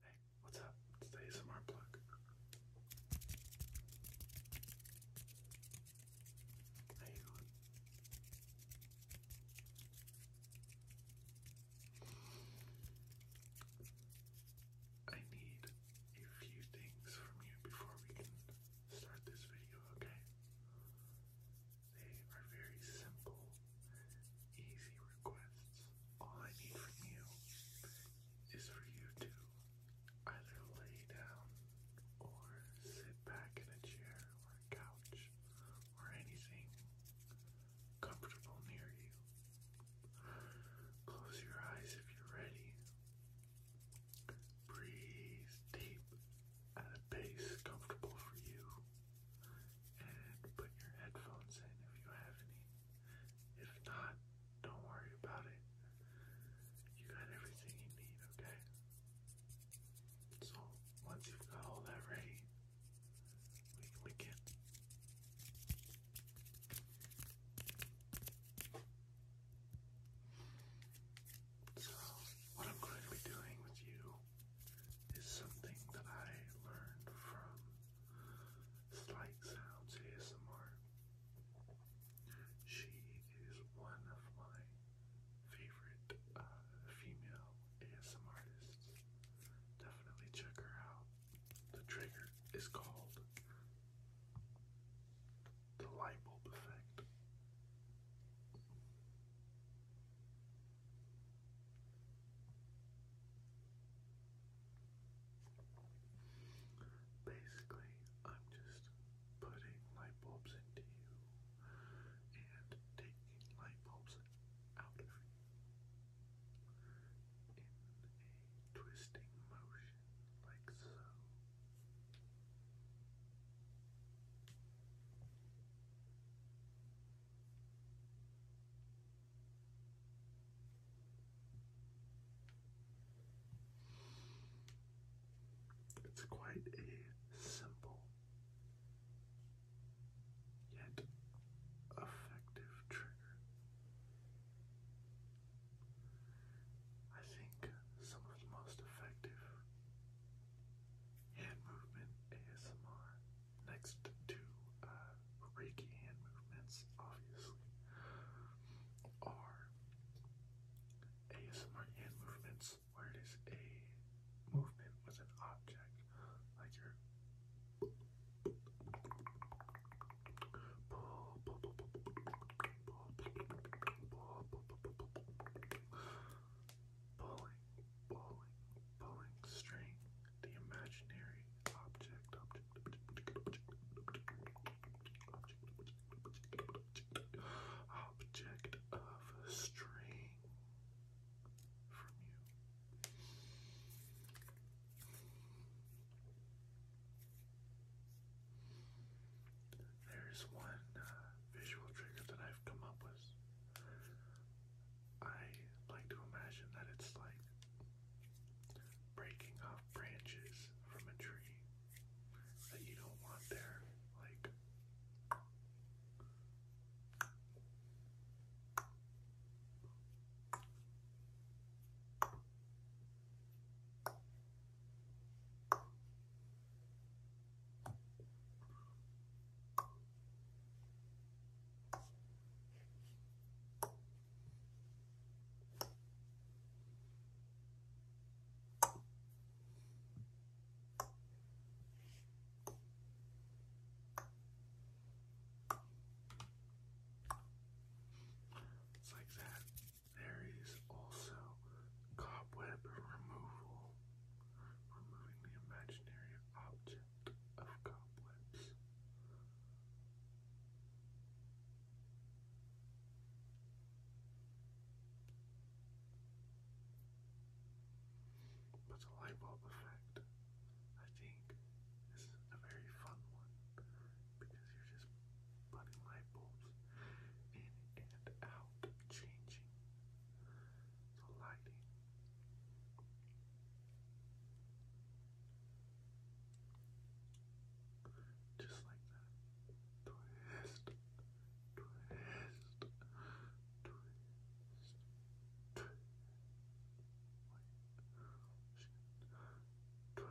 Hey, what's up? It's a ASMR plug. How I need a few things from you before we can start this video, okay? They are very simple easy requests. All I need from you is for you to either lay down or sit back in a chair or a couch or anything comfortable near you. Close your eyes if you're ready. Breathe deep at a pace comfortable for you and put your headphones in if you have any. If not, don't worry about it. You got everything you need, okay? So, once you've got all that ready, we can begin. So, what I'm going to be doing with you is something that I learned from Slight Sounds ASMR. She is one of my favorite uh, female ASMR artists. Definitely check her out. The trigger is called the light bulb effect. Basically, I'm just putting light bulbs into you and taking light bulbs out of you in a twisting motion like so. It's quite a simple yet effective trigger. I think some of the most effective hand movement ASMR next to uh, Reiki hand movements, obviously, are ASMR hand movements where it is a movement with an object, like your pulling, pulling, pulling string the imaginary object, object, object, object, object, object, string from you. There's one uh, visual trigger that I've come up with. I like to imagine that it's like breaking off branches from a tree that you don't want there, Like it's like that. There is also cobweb removal, removing the imaginary object of cobwebs. But the light bulb effect, I think, is a very fun one because you're just putting light bulbs in and out, changing lighting. Just like that. Twist, twist, twist, twist. Twist,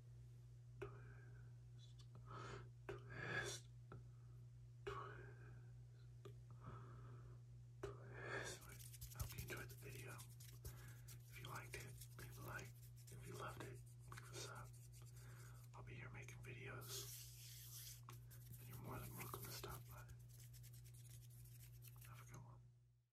twist, twist, twist. I hope you enjoyed the video. If you liked it, leave a like. If you loved it, leave a sub. I'll be here making videos, and you're more than welcome to stop by. Have a good one.